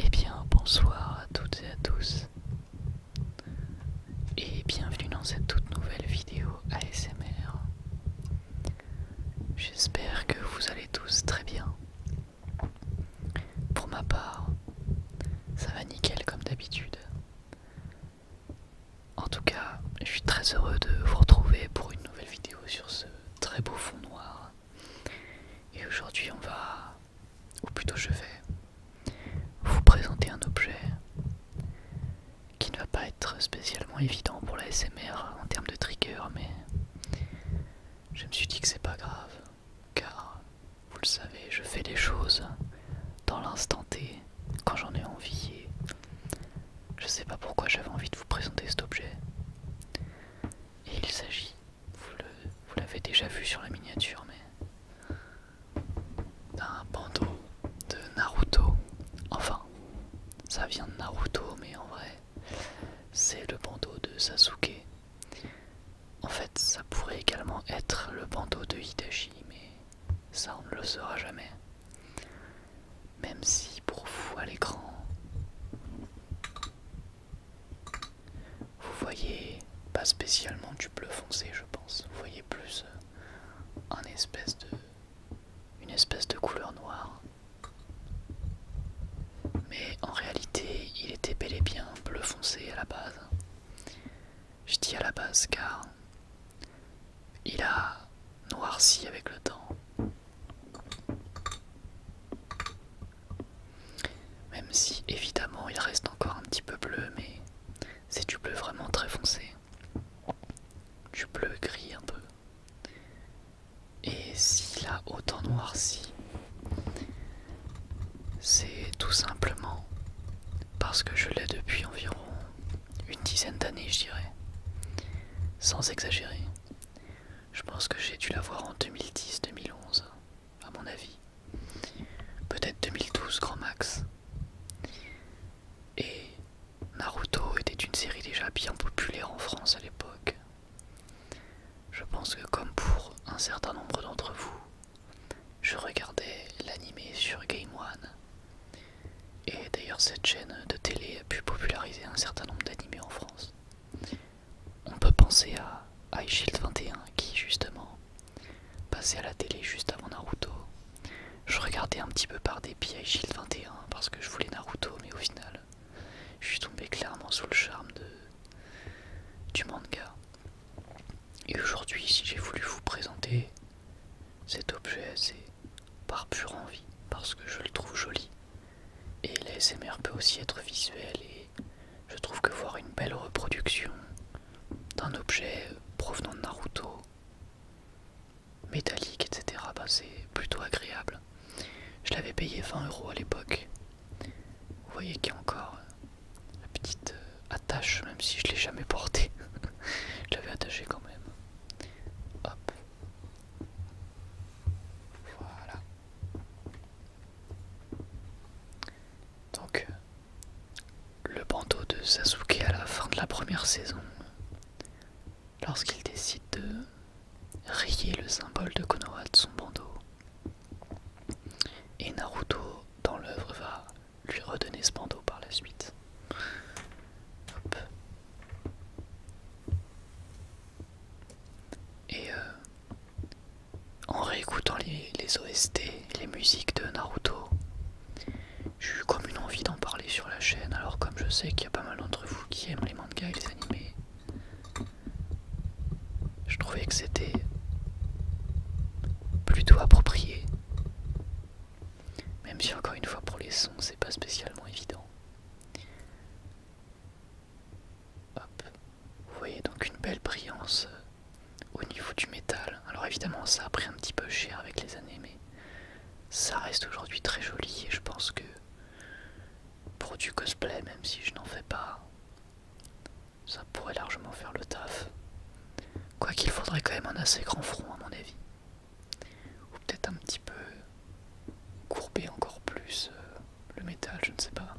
Eh bien, bonsoir à toutes et à tous, et bienvenue dans cette toute nouvelle vidéo ASMR. J'espère que vous allez tous très bien. Pour ma part, ça va nickel comme d'habitude. En tout cas, je suis très heureux de vous retrouver pour une nouvelle vidéo sur ce très beau fond noir. Et aujourd'hui, on va, ou plutôt je vais, vous présenter un objet qui ne va pas être spécialement évident pour la SMR en termes de trigger, mais je me suis dit que c'est pas grave car vous le savez, je fais des choses dans l'instant T, quand j'en ai envie, et je sais pas pourquoi j'avais envie de vous présenter cet objet. Et il s'agit, vous l'avez déjà vu sur la miniature, mais d'un bandeau de Naruto. Enfin, ça vient de Naruto, mais en vrai, c'est le bandeau de Sasuke en fait, ça pourrait également être le bandeau de Hidashi, mais ça on ne le saura jamais. Même si pour vous à l'écran, vous voyez pas spécialement du bleu foncé, je pense. Vous voyez plus euh, une espèce de couleur noire. Mais en réalité, il était bel et bien bleu foncé à la base. Je dis à la base car il a noirci avec le temps. Même si évidemment il reste encore un petit peu bleu, mais c'est du bleu vraiment très foncé. Du bleu gris un peu. Et s'il a autant noirci, c'est tout simplement parce que je l'ai depuis environ une dizaine d'années, je dirais. Sans exagérer. Je pense que j'ai dû la voir en 2010-2011, à mon avis. Peut-être 2012, grand max. Et Naruto était une série déjà bien populaire en France à l'époque. Je pense que comme pour un certain nombre d'entre vous, je regardais l'animé sur Game One. Et d'ailleurs cette chaîne de télé a pu populariser un certain nombre d'animes en France. On peut penser à iShield 21 qui justement passait à la télé juste avant Naruto. Je regardais un petit peu par dépit iShield 21 parce que je voulais Naruto mais au final je suis tombé clairement sous le charme de du manga. Et aujourd'hui, si j'ai voulu vous présenter cet objet, c'est par pure envie, parce que je le trouve joli. Et l'ASMR peut aussi être visuel, et je trouve que voir une belle reproduction d'un objet provenant de Naruto, métallique, etc., bah, c'est plutôt agréable. Je l'avais payé 20€ euros à l'époque, vous voyez qu'il y a encore euh, la petite euh, attache, même si je l'ai jamais portée. je l'avais attachée quand même. Hop. Voilà. Donc, euh, le bandeau de Sasuke à la fin de la première saison, lorsqu'il décide de rayer le symbole de Konoha de son bandeau, et Naruto, dans l'œuvre, va lui redonner ce bandeau par la suite. Et euh, en réécoutant les, les OST, les musiques de Naruto, j'ai eu comme une envie d'en parler sur la chaîne. Alors comme je sais qu'il y a pas mal d'entre vous qui aiment les mangas et les animés, je trouvais que c'était plutôt approprié. Même si encore une fois pour les sons c'est pas spécialement évident. Vous voyez donc une belle brillance euh, au niveau du métal. Alors évidemment ça a pris un petit peu cher avec les années mais ça reste aujourd'hui très joli et je pense que pour du cosplay même si je n'en fais pas ça pourrait largement faire le taf. Quoi qu'il faudrait quand même un assez grand front à mon avis. Ou peut-être un petit peu courber encore plus euh, le métal, je ne sais pas.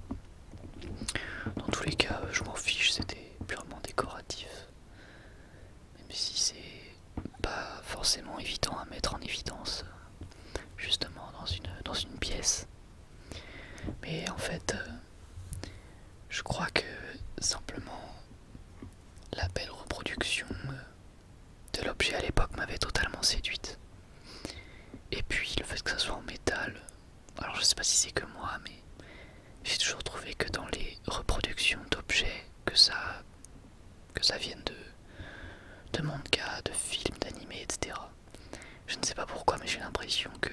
Dans tous les cas, je m'en fiche, c'était purement décoratif. Même si c'est pas forcément évident à mettre en évidence, justement dans une pièce. Mais en fait, euh, je crois que simplement la belle reproduction euh, de l'objet à l'époque m'avait totalement séduite. Et puis le fait que ça soit en métal, alors je sais pas si c'est que moi, mais j'ai toujours trouvé que dans les reproductions d'objets, que ça, vienne de, de manga, de films, d'animés, etc., je ne sais pas pourquoi, mais j'ai l'impression que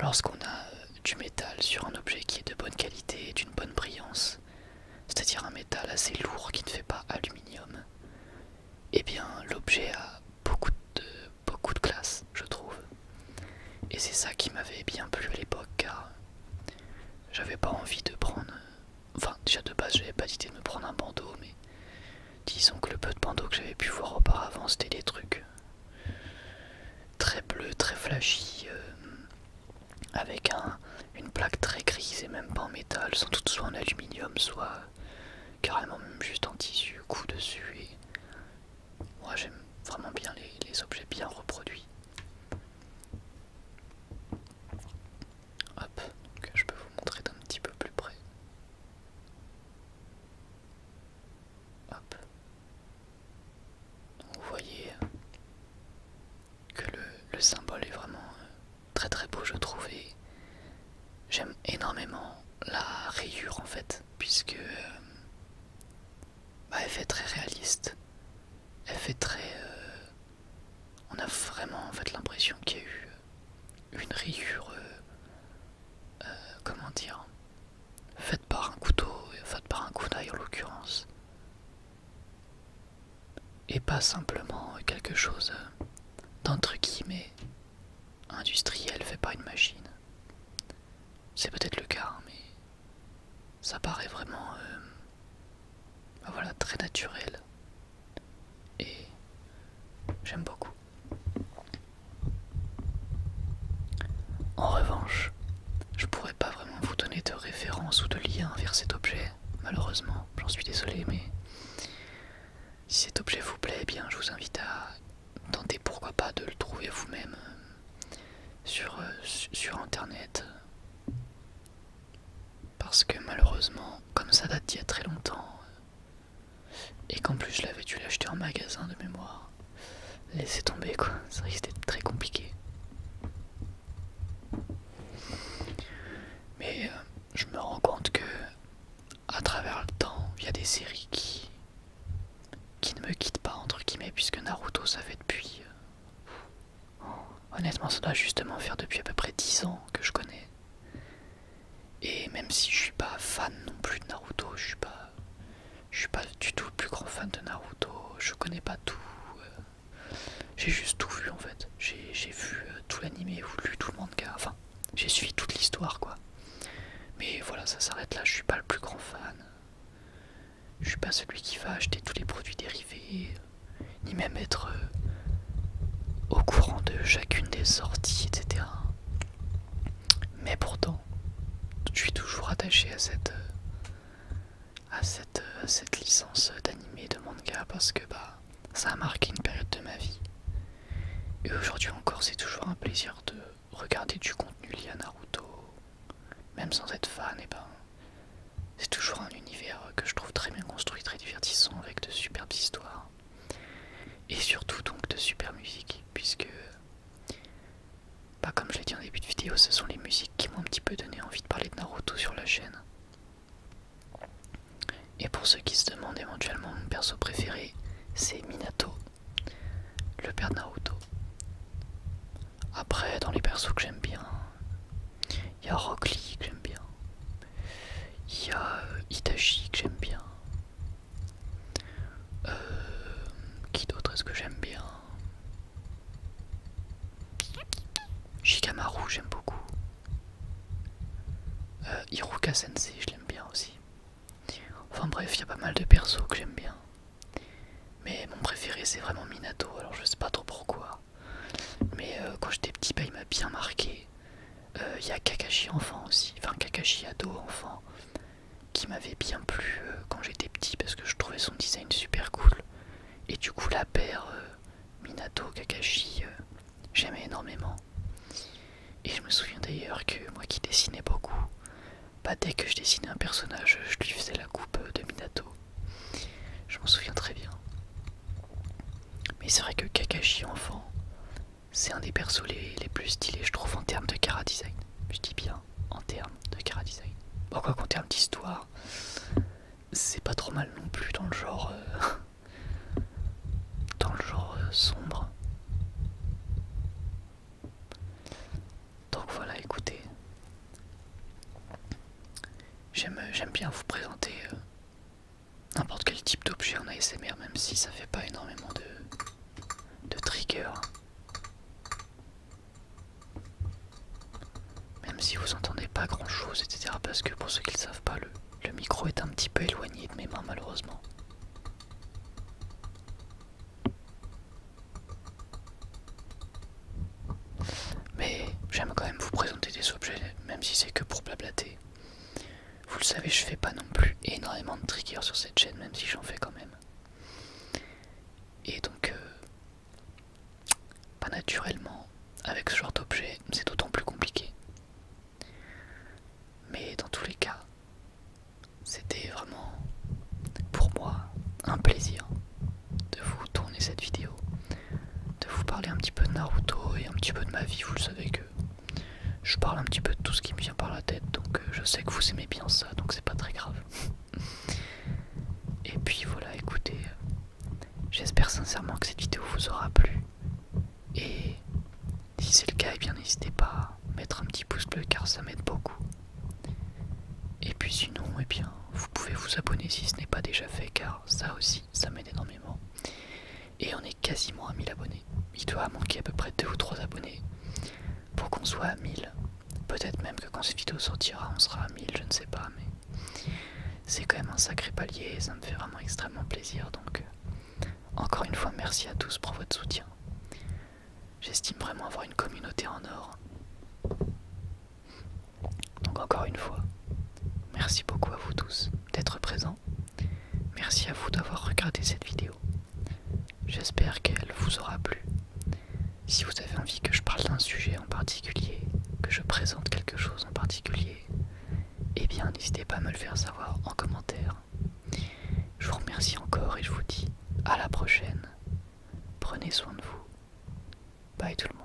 lorsqu'on a euh, du métal sur un objet qui est de bonne qualité et d'une bonne brillance, c'est-à-dire un métal assez lourd qui ne fait pas aluminium, eh bien l'objet a beaucoup de, beaucoup de classe, je trouve. Et c'est ça qui m'avait bien plu à l'époque car j'avais pas envie de prendre. Enfin, déjà de base, j'avais pas l'idée de me prendre un bandeau, mais Disons que le peu de bandeaux que j'avais pu voir auparavant, c'était des trucs très bleus, très flashy, euh, avec une plaque très grise et même pas en métal, sans doute soit en aluminium, soit carrément même juste en tissu, coup dessus. Et moi j'aime vraiment bien les, objets bien reproduits. Hop, je peux vous montrer d'un petit peu plus près vous voyez euh, que le, symbole est vraiment euh, très très beau je trouve j'aime énormément la rayure en fait puisque euh, bah, elle fait très réaliste. Elle fait très... on a vraiment fait l'impression qu'il y a eu euh, une rayure, euh, euh, comment dire, faite par un couteau, faite par un coup en l'occurrence, et pas simplement quelque chose d'entre guillemets industriel fait par une machine. C'est peut-être le cas, hein, mais ça paraît vraiment, voilà, très naturel et j'aime beaucoup. En revanche, je pourrais pas vraiment vous donner de référence ou de lien vers cet objet, malheureusement, j'en suis désolé, mais si cet objet vous plaît, eh bien je vous invite à tenter pourquoi pas de le trouver vous-même euh, sur, euh, sur internet. Parce que malheureusement, comme ça date d'il y a très longtemps, et qu'en plus je l'avais dû l'acheter en magasin de mémoire. Laisser tomber quoi, ça que d'être très compliqué. Mais euh, je me rends compte que à travers le temps, il y a des séries qui, qui ne me quittent pas entre guillemets puisque Naruto ça fait depuis. Euh, honnêtement ça doit justement faire depuis à peu près 10 ans que je connais et même si je suis pas fan non plus de Naruto, je suis pas, je suis pas du tout le plus grand fan de Naruto. Je connais pas tout. Euh, j'ai juste tout vu en fait. J'ai vu euh, tout l'animé ou lu tout le manga. Enfin, j'ai suivi toute l'histoire quoi. Mais voilà, ça s'arrête là. Je suis pas le plus grand fan. Je suis pas celui qui va acheter tous les produits dérivés, ni même être euh, au courant de chacune des sorties, etc. Mais pourtant, je suis toujours attaché à cette, à cette, licence d'anime de manga parce que bah, ça a marqué une période de ma vie. Et aujourd'hui encore, c'est toujours un plaisir de regarder du contenu lié à Naruto, même sans être fan, et ben c'est toujours un univers que je trouve très bien construit, très divertissant, avec de superbes histoires. Et surtout donc de super musique, puisque, bah, comme je l'ai dit en début de vidéo, ce sont les musiques qui m'ont un petit peu donné envie de parler de Naruto sur la chaîne. Et pour ceux qui se demandent éventuellement mon perso préféré, c'est Minato, le père de Naruto. Après, dans les persos que j'aime bien, il y a Rock Lee que j'aime bien, il y a euh, Itachi que j'aime bien. Euh, qui d'autre est-ce que j'aime bien Shikamaru, j'aime beaucoup. Euh, Hiruka Sensei, je l'aime bien aussi. Enfin bref, il y a pas mal de persos que j'aime bien. Mais mon préféré, c'est vraiment Minato, alors je sais pas trop pourquoi. Mais quand j'étais petit, bah, il m'a bien marqué. Il euh, y a Kakashi enfant aussi, enfin Kakashi ado enfant, qui m'avait bien plu euh, quand j'étais petit parce que je trouvais son design super cool. Et du coup la paire euh, Minato Kakashi, j'aimais énormément. Et je me souviens d'ailleurs que moi qui dessinais beaucoup, bah, dès que je dessinais un personnage, je lui faisais la coupe de Minato. Je m'en souviens très bien. Mais c'est vrai que Kakashi enfant, c'est un des persos les, plus stylés, je trouve, en termes de kara design. Je dis bien, en termes de cara design. Bon, quoi qu'en termes d'histoire, c'est pas trop mal non plus dans le genre. Euh, dans le genre euh, sombre. Donc voilà, écoutez. J'aime bien vous présenter euh, n'importe quel type d'objet en ASMR, même si ça fait pas énormément de, de trigger. Même si vous entendez pas grand chose, etc. Parce que pour ceux qui ne savent pas, le, le micro est un petit peu éloigné de mes mains, malheureusement. Mais j'aime quand même vous présenter des objets, même si c'est que pour blablater. Vous le savez, je fais pas non plus énormément de triggers sur cette chaîne, même si j'en fais quand même. Et donc, euh, pas naturellement, avec ce genre d'objet, c'est d'autant plus compliqué. Mais dans tous les cas, c'était vraiment pour moi un plaisir de vous tourner cette vidéo de vous parler un petit peu de Naruto et un petit peu de ma vie. Vous le savez que je parle un petit peu de tout ce qui me vient par la tête, donc euh, je sais que vous aimez bien ça, donc c'est pas très grave. Et puis voilà, écoutez, euh, j'espère sincèrement que cette vidéo vous aura plu. Et si c'est le cas, et eh bien n'hésitez pas à mettre un petit pouce bleu car ça m'aide beaucoup. Et puis sinon, et eh bien, vous pouvez vous abonner si ce n'est pas déjà fait car ça aussi, ça m'aide énormément. Et on est quasiment à 1000 abonnés. Il doit manquer à peu près 2 ou 3 abonnés pour qu'on soit à 1000. Peut-être même que quand cette vidéo sortira, on sera à 1000, je ne sais pas, mais c'est quand même un sacré palier et ça me fait vraiment extrêmement plaisir. Donc, encore une fois, merci à tous pour votre soutien. J'estime vraiment avoir une communauté en or. Donc encore une fois, merci beaucoup à vous tous d'être présents. Merci à vous d'avoir regardé cette vidéo. J'espère qu'elle vous aura plu. Si vous avez envie que je parle d'un sujet en particulier, que je présente quelque chose en particulier, eh bien n'hésitez pas à me le faire savoir en commentaire. Je vous remercie encore et je vous dis à la prochaine. Prenez soin de vous. Bye tout le monde.